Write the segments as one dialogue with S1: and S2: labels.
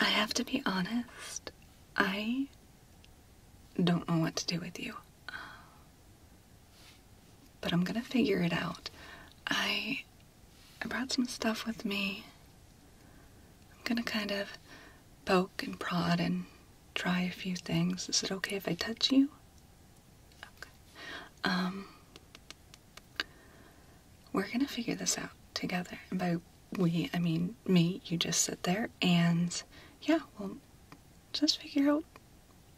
S1: I have to be honest, I don't know what to do with you. but I'm gonna figure it out. I I brought some stuff with me. I'm gonna kind of poke and prod and try a few things. Is it okay if I touch you? Okay. Um we're gonna figure this out together. And by we, I mean me, you just sit there and yeah, we'll just figure out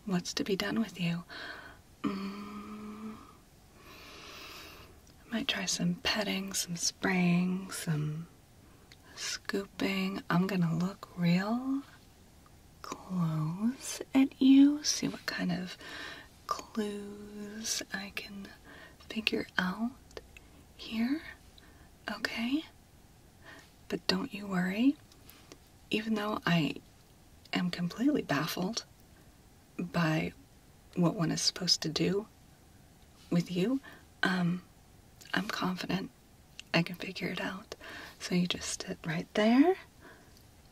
S1: what's to be done with you. Um, might try some petting, some spraying, some scooping. I'm gonna look real close at you, see what kind of clues I can figure out here, okay? But don't you worry, even though I am completely baffled by what one is supposed to do with you, um, I'm confident I can figure it out. So you just sit right there,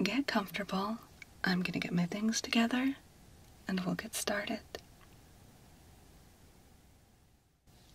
S1: get comfortable. I'm gonna get my things together, and we'll get started.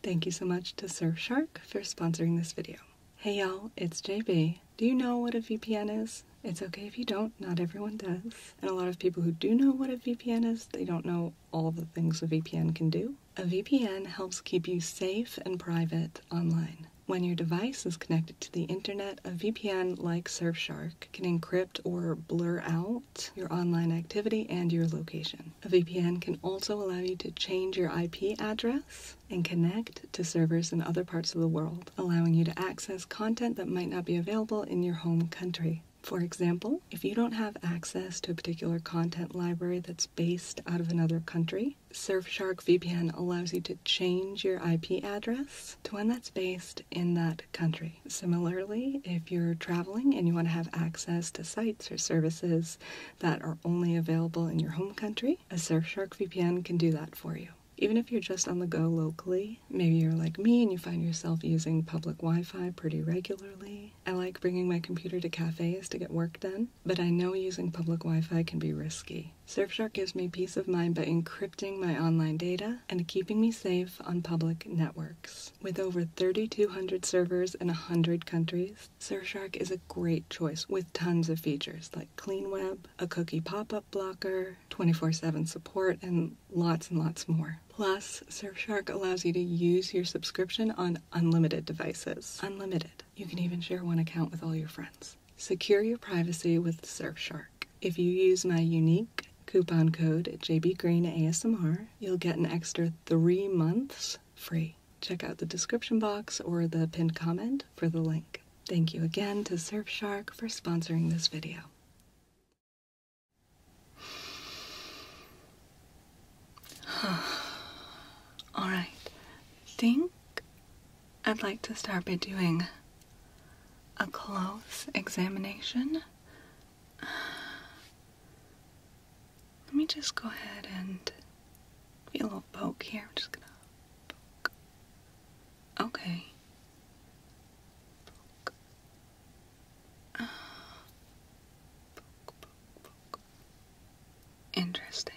S1: Thank you so much to Surfshark for sponsoring this video. Hey y'all, it's JB. Do you know what a VPN is? It's okay if you don't, not everyone does. And a lot of people who do know what a VPN is, they don't know all the things a VPN can do. A VPN helps keep you safe and private online. When your device is connected to the internet, a VPN like Surfshark can encrypt or blur out your online activity, and your location. A VPN can also allow you to change your IP address and connect to servers in other parts of the world, allowing you to access content that might not be available in your home country. For example, if you don't have access to a particular content library that's based out of another country, Surfshark VPN allows you to change your IP address to one that's based in that country. Similarly, if you're traveling and you want to have access to sites or services that are only available in your home country, a Surfshark VPN can do that for you. Even if you're just on the go locally, maybe you're like me and you find yourself using public Wi Fi pretty regularly. I like bringing my computer to cafes to get work done, but I know using public Wi Fi can be risky. Surfshark gives me peace of mind by encrypting my online data and keeping me safe on public networks. With over 3,200 servers in 100 countries, Surfshark is a great choice with tons of features like clean web, a cookie pop up blocker, 24 7 support, and lots and lots more. Plus, Surfshark allows you to use your subscription on unlimited devices. Unlimited. You can even share one account with all your friends. Secure your privacy with Surfshark. If you use my unique coupon code JBGreenASMR, you'll get an extra three months free. Check out the description box or the pinned comment for the link. Thank you again to Surfshark for sponsoring this video. Alright, think I'd like to start by doing a close examination let me just go ahead and be a little poke here. I'm just gonna poke. Okay. Ah, Interesting.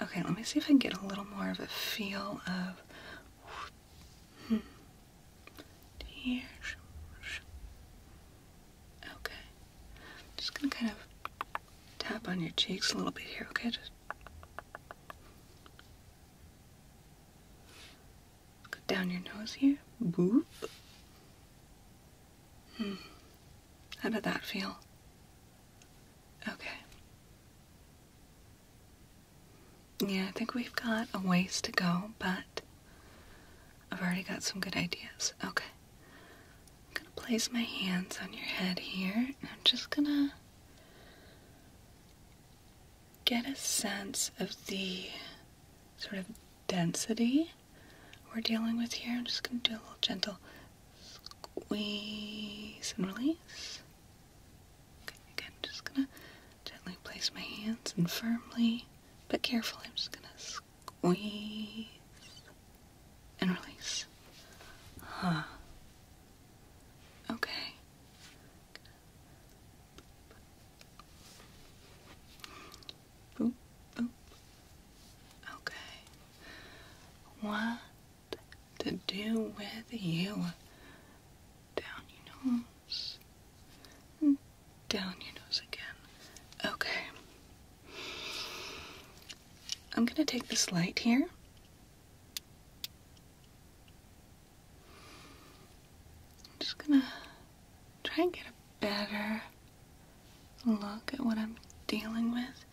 S1: Okay, let me see if I can get a little more of a feel of. Hmm here. Okay. Just gonna kind of tap on your cheeks a little bit here, okay? Just go down your nose here. Boop. Hmm. How did that feel? Okay. Yeah, I think we've got a ways to go, but I've already got some good ideas. Okay. I'm gonna place my hands on your head here, and I'm just gonna get a sense of the sort of density we're dealing with here. I'm just gonna do a little gentle squeeze and release. Okay, again, just gonna gently place my hands and firmly, but carefully, I'm just gonna squeeze and release. Huh. Okay. Boop, boop. Okay. What to do with you? down your nose, down your nose again. Okay. I'm going to take this light here. I'm just going to try and get a better look at what I'm dealing with.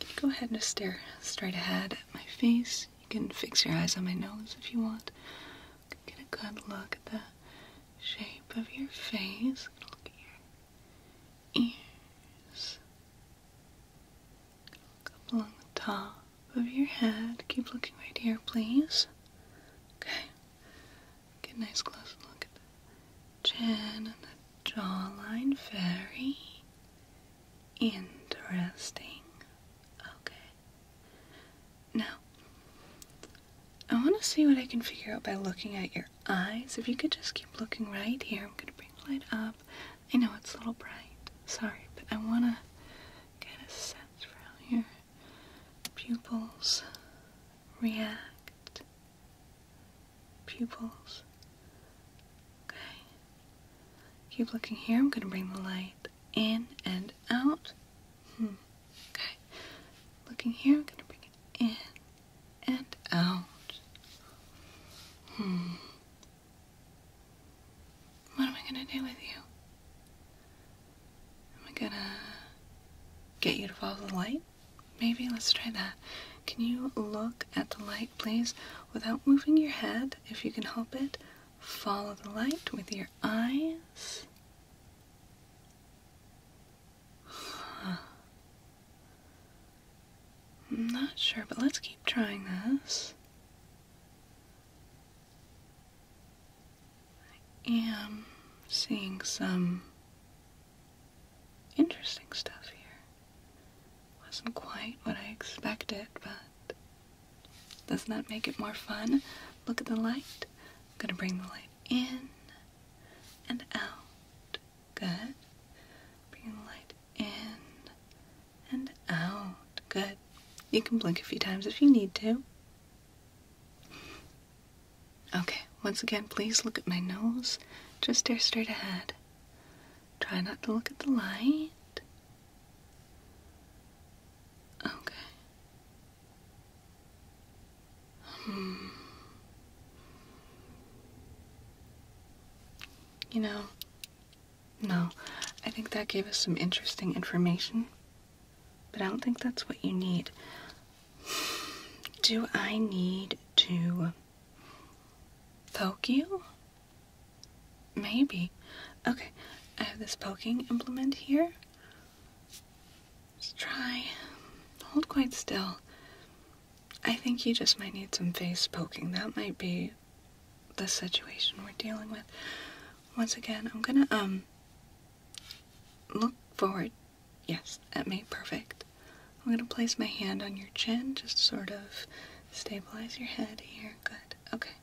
S1: Can you go ahead and just stare straight ahead at my face? You can fix your eyes on my nose if you want. Get a good look at the shape of your face. Look at your ears. Look up along the top of your head. Keep looking right here, please. Okay. Get a nice close look at the chin and the jawline. Very interesting. Okay. Now, I want to see what I can figure out by looking at your eyes. If you could just keep looking right here, I'm going to bring the light up. I know it's a little bright. Sorry, but I want to get a sense for how your pupils react. Pupils. Okay. Keep looking here. I'm going to bring the light in and out. Hmm. Okay. Looking here, I'm gonna bring it in and out. Hmm. What am I gonna do with you? Am I gonna get you to follow the light? Maybe let's try that. Can you look at the light, please, without moving your head, if you can help it? Follow the light with your eyes. I'm not sure, but let's keep trying this. I am seeing some interesting stuff here. Wasn't quite what I expected, but doesn't that make it more fun? Look at the light. I'm gonna bring the light in and out. Good. Bring the light in and out. Good. You can blink a few times if you need to. Okay, once again, please look at my nose. Just stare straight ahead. Try not to look at the light. Okay. Hmm. You know, no, I think that gave us some interesting information, but I don't think that's what you need. Do I need to poke you? Maybe. Okay, I have this poking implement here. Just try. Hold quite still. I think you just might need some face poking. That might be the situation we're dealing with. Once again, I'm gonna, um, look forward. Yes, at me. Perfect. I'm gonna place my hand on your chin, just sort of stabilize your head here. Good. Okay.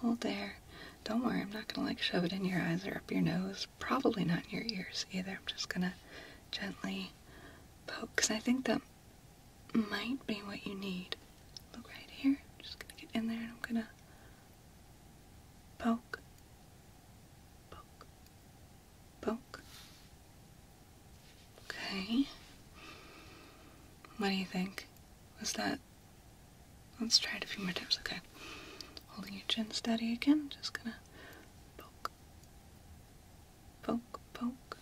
S1: Hold there. Don't worry, I'm not gonna like shove it in your eyes or up your nose. Probably not in your ears either. I'm just gonna gently poke because I think that might be what you need. Look right here. I'm just gonna get in there and I'm gonna poke, poke, poke. Okay. What do you think? Was that Let's try it a few more times, okay? Holding your chin steady again, just gonna poke, poke, poke,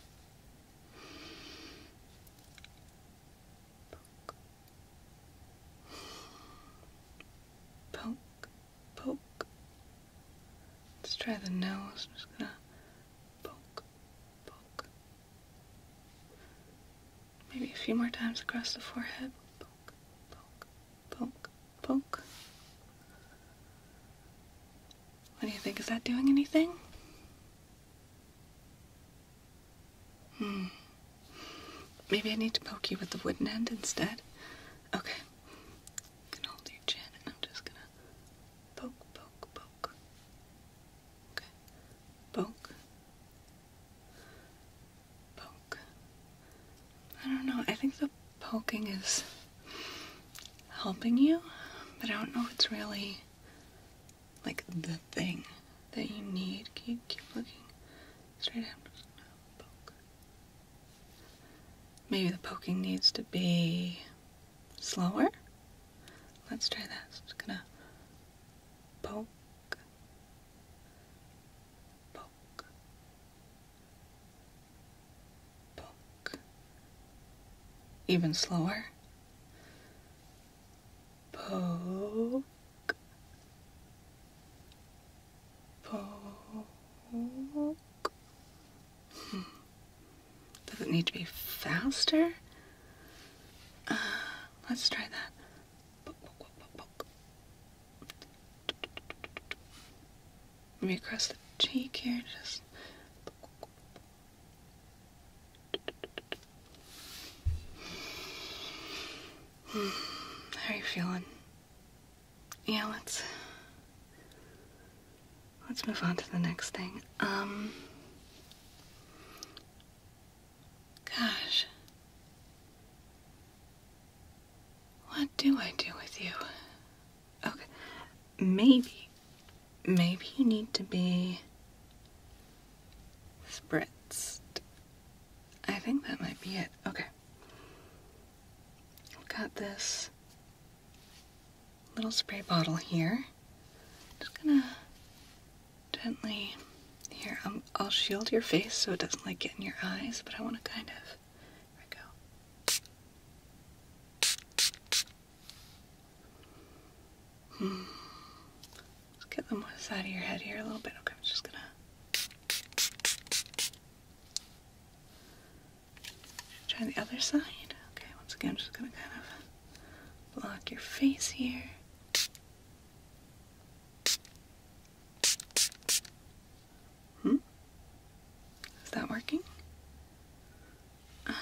S1: poke, poke, Let's try the nose, I'm just gonna poke, poke, Maybe a few more times across the forehead. Poke, poke, poke, poke. What do you think? Is that doing anything? Hmm. Maybe I need to poke you with the wooden end instead. Okay. You can hold your chin and I'm just gonna poke, poke, poke. Okay. Poke, Poke. I don't know. I think the poking is helping you, but I don't know if it's really like the thing that you need. Keep keep looking straight up. Poke. Maybe the poking needs to be slower. Let's try that. So just gonna poke, book book even slower poke poke hmm. does it need to be faster uh, let's try that Poke, poke, poke, the cheek here, just. How are you feeling? Yeah, let's let's move on to the next thing. Um, Gosh. What do I do with you? Okay, maybe, maybe you need to be spritzed. I think that might be it. Okay. I've got this little spray bottle here. just gonna gently. Here, um, I'll shield your face so it doesn't like get in your eyes, but I want to kind of. There we go. Hmm. Let's get the on the side of your head here a little bit. Okay, I'm just gonna. Try the other side. Okay, once again, I'm just gonna kind of block your face here. Hmm? Is that working?
S2: Uh,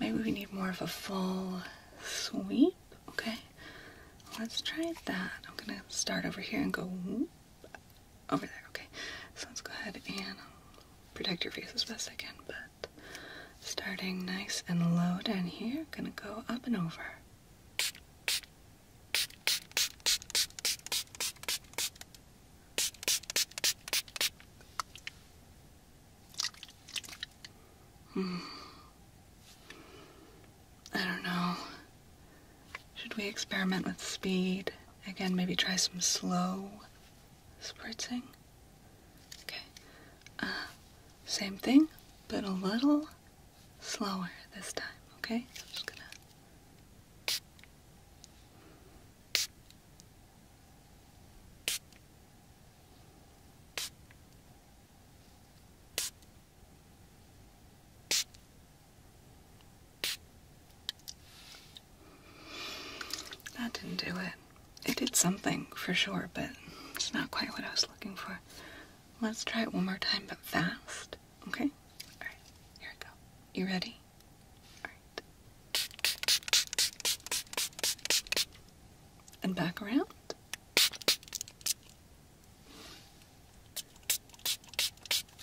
S2: maybe we need
S1: more of a full sweep. Okay, let's try that. I'm gonna start over here and go over there. Okay, so let's go ahead and protect your face as best I can, but starting nice and low down here, gonna go up and over. Hmm. I don't know. Should we experiment with speed? Again, maybe try some slow spritzing? Okay. Uh, same thing, but a little slower this time, okay? That didn't do it. It did something for sure, but it's not quite what I was looking for. Let's try it one more time, but fast. Okay? All right. Here we go. You ready? All right. And back around.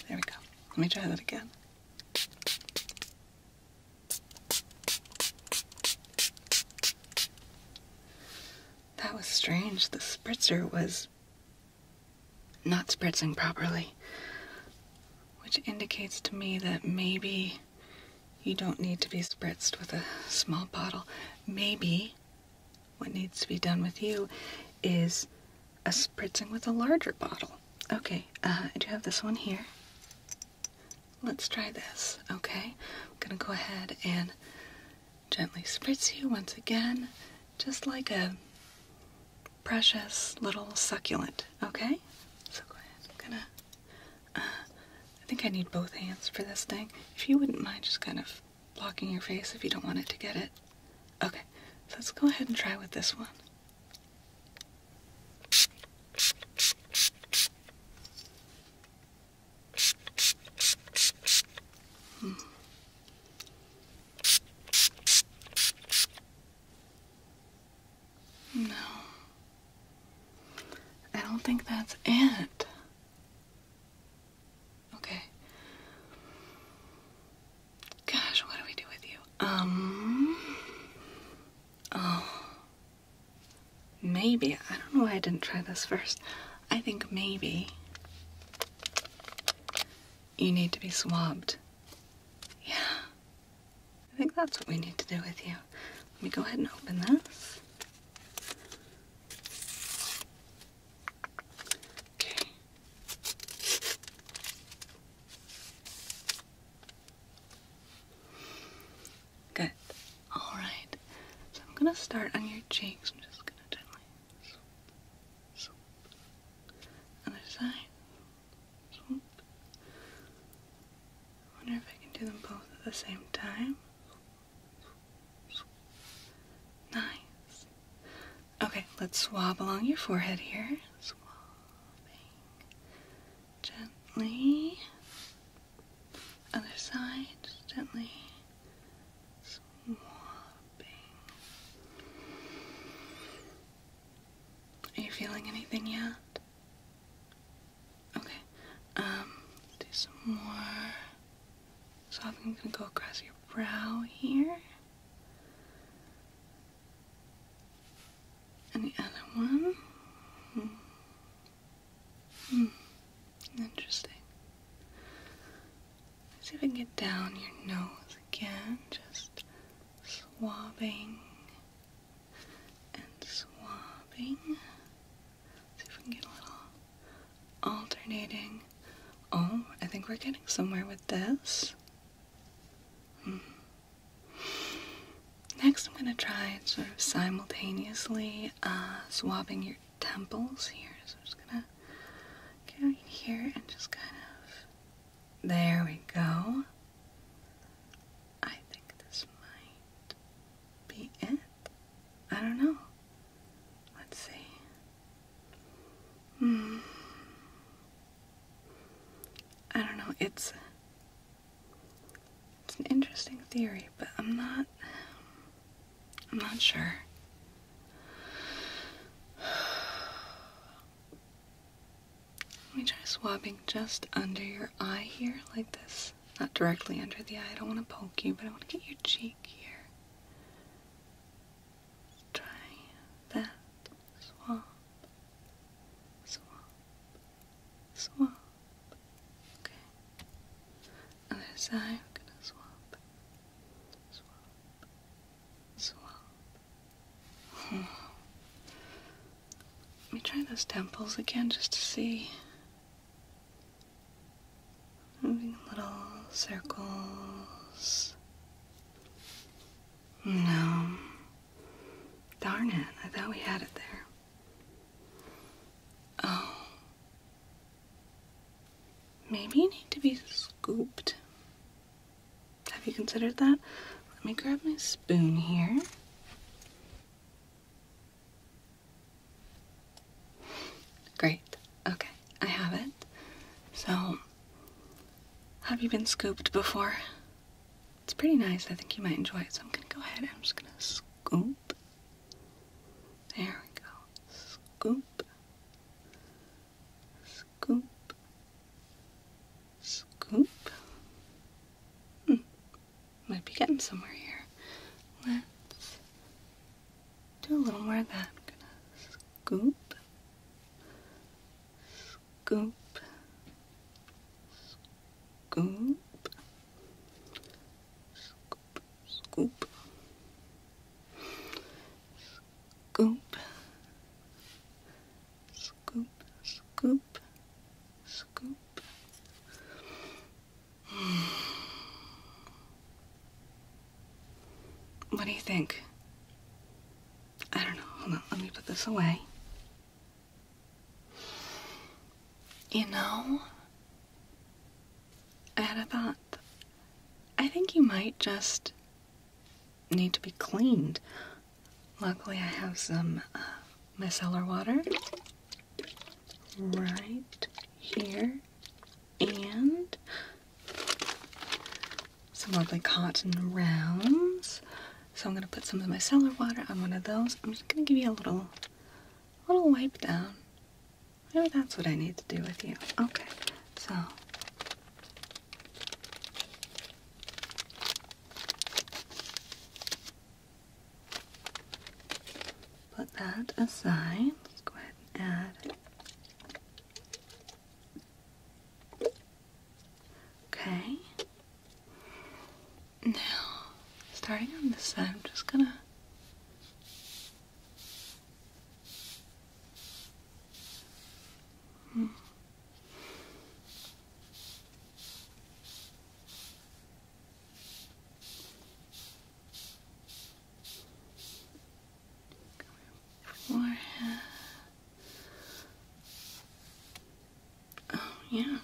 S1: There we go. Let me try that again. That was strange. The spritzer was not spritzing properly, which indicates to me that maybe you don't need to be spritzed with a small bottle. Maybe what needs to be done with you is a spritzing with a larger bottle. Okay, uh, I do have this one here. Let's try this, okay? I'm gonna go ahead and gently spritz you once again, just like a precious little succulent, okay? So go ahead. I'm gonna. Uh, I think I need both hands for this thing. If you wouldn't mind just kind of blocking your face if you don't want it to get it. Okay, let's go ahead and try with this one. No. I don't think that's it. Okay. Gosh, what do we do with you? Um. Oh. Maybe. I don't know why I didn't try this first. I think maybe you need to be swabbed. Yeah. I think that's what we need to do with you. Let me go ahead and open this. Okay. Good. Alright, so I'm gonna start on your cheeks. I'm just gonna gently Other side, wonder if I can do them both at the same time. Nice. Okay, let's swab along your forehead here. Gently. Other side, gently. Swapping. Are you feeling anything yet? Okay. Um, do some more. So I am gonna go across your brow here. And the other one. Hmm. Hmm. Interesting. See if we can get down your nose again, just swabbing and swabbing. See if we can get a little alternating. Oh, I think we're getting somewhere with this. Hmm. Next, I'm going to try sort of simultaneously uh, swabbing your temples here. So I'm just gonna get in here and just kind of. There we go. I think this might be it. I don't know. Let's see. Hmm. I don't know. It's it's an interesting theory, but I'm not. I'm not sure. Let me try swabbing just under your eye here, like this. Not directly under the eye. I don't want to poke you, but I want to get your cheek here. try that. Swab. Swab. Swab. Okay. Other side, I'm gonna swab. Let me try those temples again just to see. Moving little circles. No. Darn it. I thought we had it there. Oh maybe you need to be scooped. Have you considered that? Let me grab my spoon here. Great. Okay, I have it. So, have you been scooped before? It's pretty nice. I think you might enjoy it. So I'm going to go ahead and I'm just going to scoop there we go. Scoop. Scoop. Scoop. Hmm. Might be getting somewhere here. Let's do a little more of that. I'm gonna scoop. Scoop. Scoop. Scoop, scoop, scoop, scoop, scoop, scoop. What do you think? I don't know. Hold on. Let me put this away. You know, I had a thought. I think you might just need to be cleaned. Luckily, I have some uh, micellar water right here and some lovely cotton rounds. So I'm going to put some of my cellar water on one of those. I'm just going to give you a little, little wipe down. Maybe that's what I need to do with you. Okay, so. Put that aside. Let's go ahead and add. Okay. Now, starting on this side, I'm just gonna Hmm. Forehead. Oh, yeah.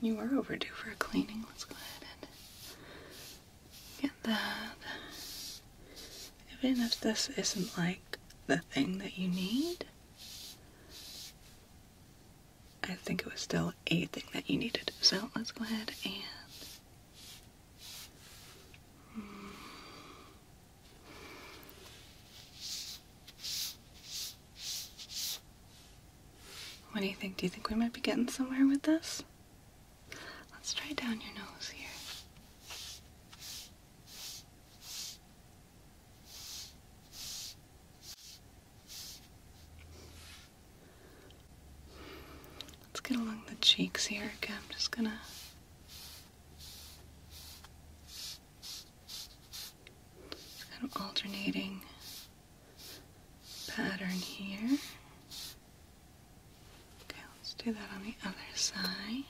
S1: You are overdue for a cleaning. Let's go ahead get that. Even if this isn't like the thing that you need, I think it was still a thing that you needed. So let's go ahead and. Hmm. What do you think? Do you think we might be getting somewhere with this? Let's try down your nose here. Let's get along the cheeks here again. I'm just gonna kind of alternating pattern here. Okay, let's do that on the other side.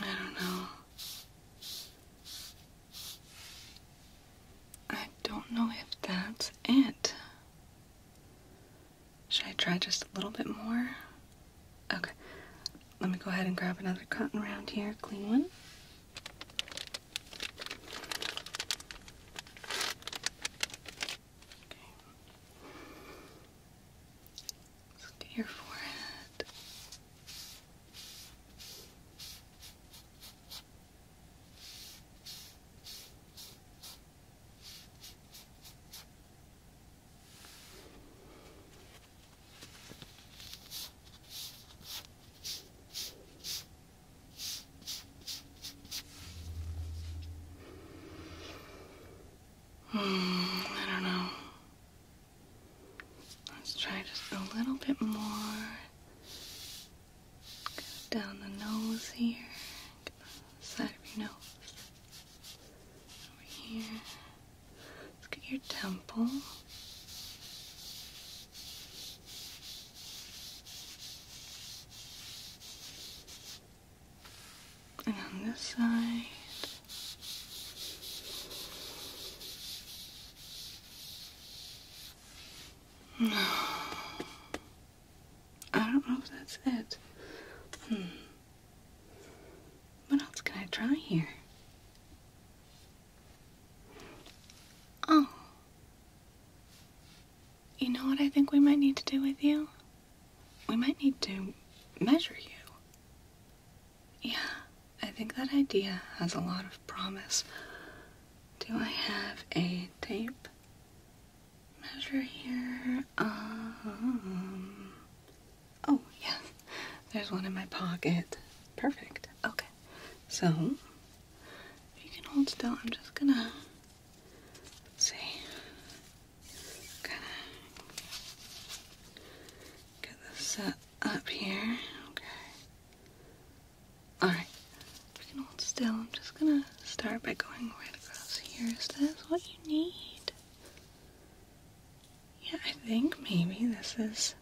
S1: I don't know. I don't know if that's it. Should I try just a little bit more? Okay. Let me go ahead and grab another cotton round here, clean one. Okay. your forehead. Hmm, I don't know. Let's try just a little bit more. Go down the nose here, the side of your nose. Over here. Look at your temple. And on this side. No. I don't know if that's it. Hmm. What else can I try here? Oh. You know what I think we might need to do with you? We might need to measure you. Yeah, I think that idea has a lot of promise. Do I have a tape? Measure here. Um, Oh, yeah. There's one in my pocket. Perfect. Okay. So, if you can hold still, I'm just gonna. see. Kind of get this set up here. Okay. Alright. If you can hold still, I'm just gonna start by going right across here. Is this what you need? Yeah, I think maybe this is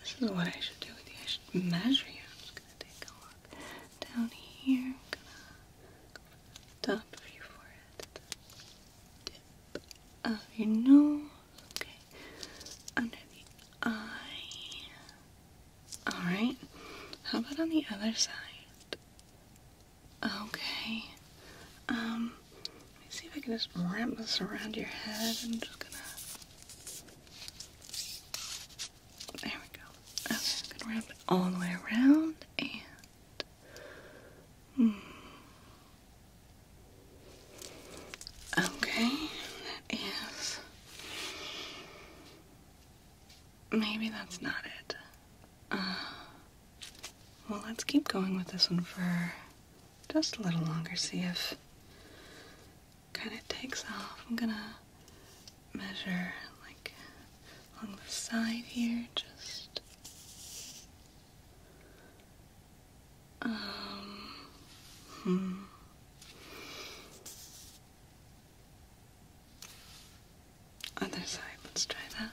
S1: this is what I should do with you. I should measure you. I'm just gonna take a look down here. I'm gonna go top of your forehead, dip the tip of your nose. Okay, under the eye. All right. How about on the other side? Okay. Um, let me see if I can just wrap this around your head. I'm just gonna. There we go. Okay, I'm gonna wrap it all the way around and. Hmm. Okay, that is. Maybe that's not it. Uh, well, let's keep going with this one for just a little longer, see if kind of takes off. I'm gonna measure like along the side here, just um, hmm. Other side, let's try that.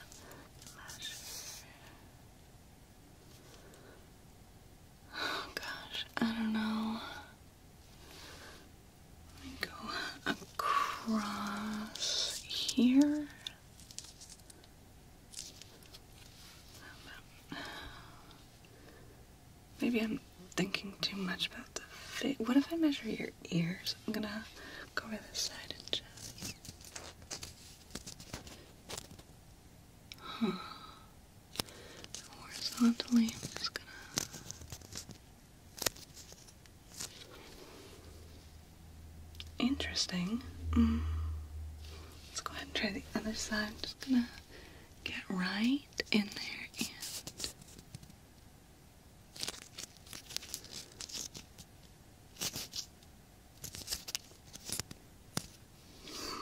S1: Oh gosh, I don't know. Let me go across here. Maybe I'm thinking too much about the face. What if I measure your ears? I'm gonna go over this side and just. Horizontally, i gonna. Interesting. Mm. Let's go ahead and try the other side. just gonna get right in there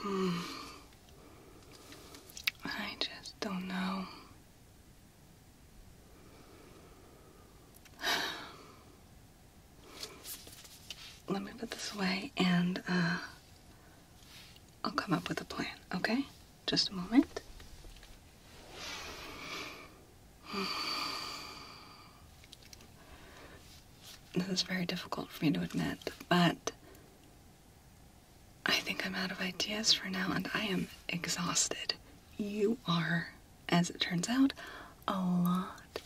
S1: Hmm. I just don't know. Let me put this away and uh, I'll come up with a plan, okay? Just a moment. This is very difficult for me to admit, but I think I'm out of ideas for now and I am exhausted. You are, as it turns out, a lot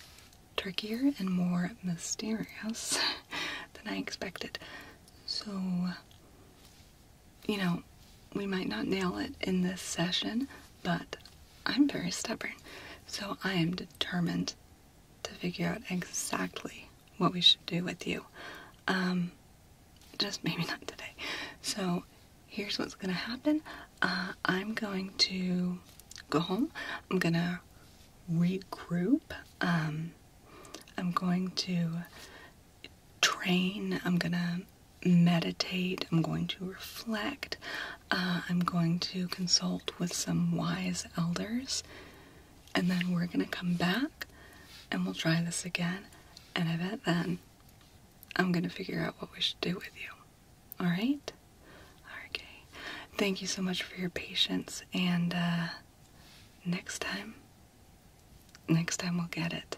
S1: trickier and more mysterious than I expected. So, you know, we might not nail it in this session, but I'm very stubborn, so I am determined to figure out exactly what we should do with you. Um, just maybe not today. So here's what's gonna happen. Uh, I'm going to go home. I'm gonna regroup. Um, I'm going to train. I'm gonna meditate, I'm going to reflect, uh, I'm going to consult with some wise elders, and then we're going to come back and we'll try this again. And I bet then I'm going to figure out what we should do with you. All right? Okay. Thank you so much for your patience, and uh, next time, next time we'll get it.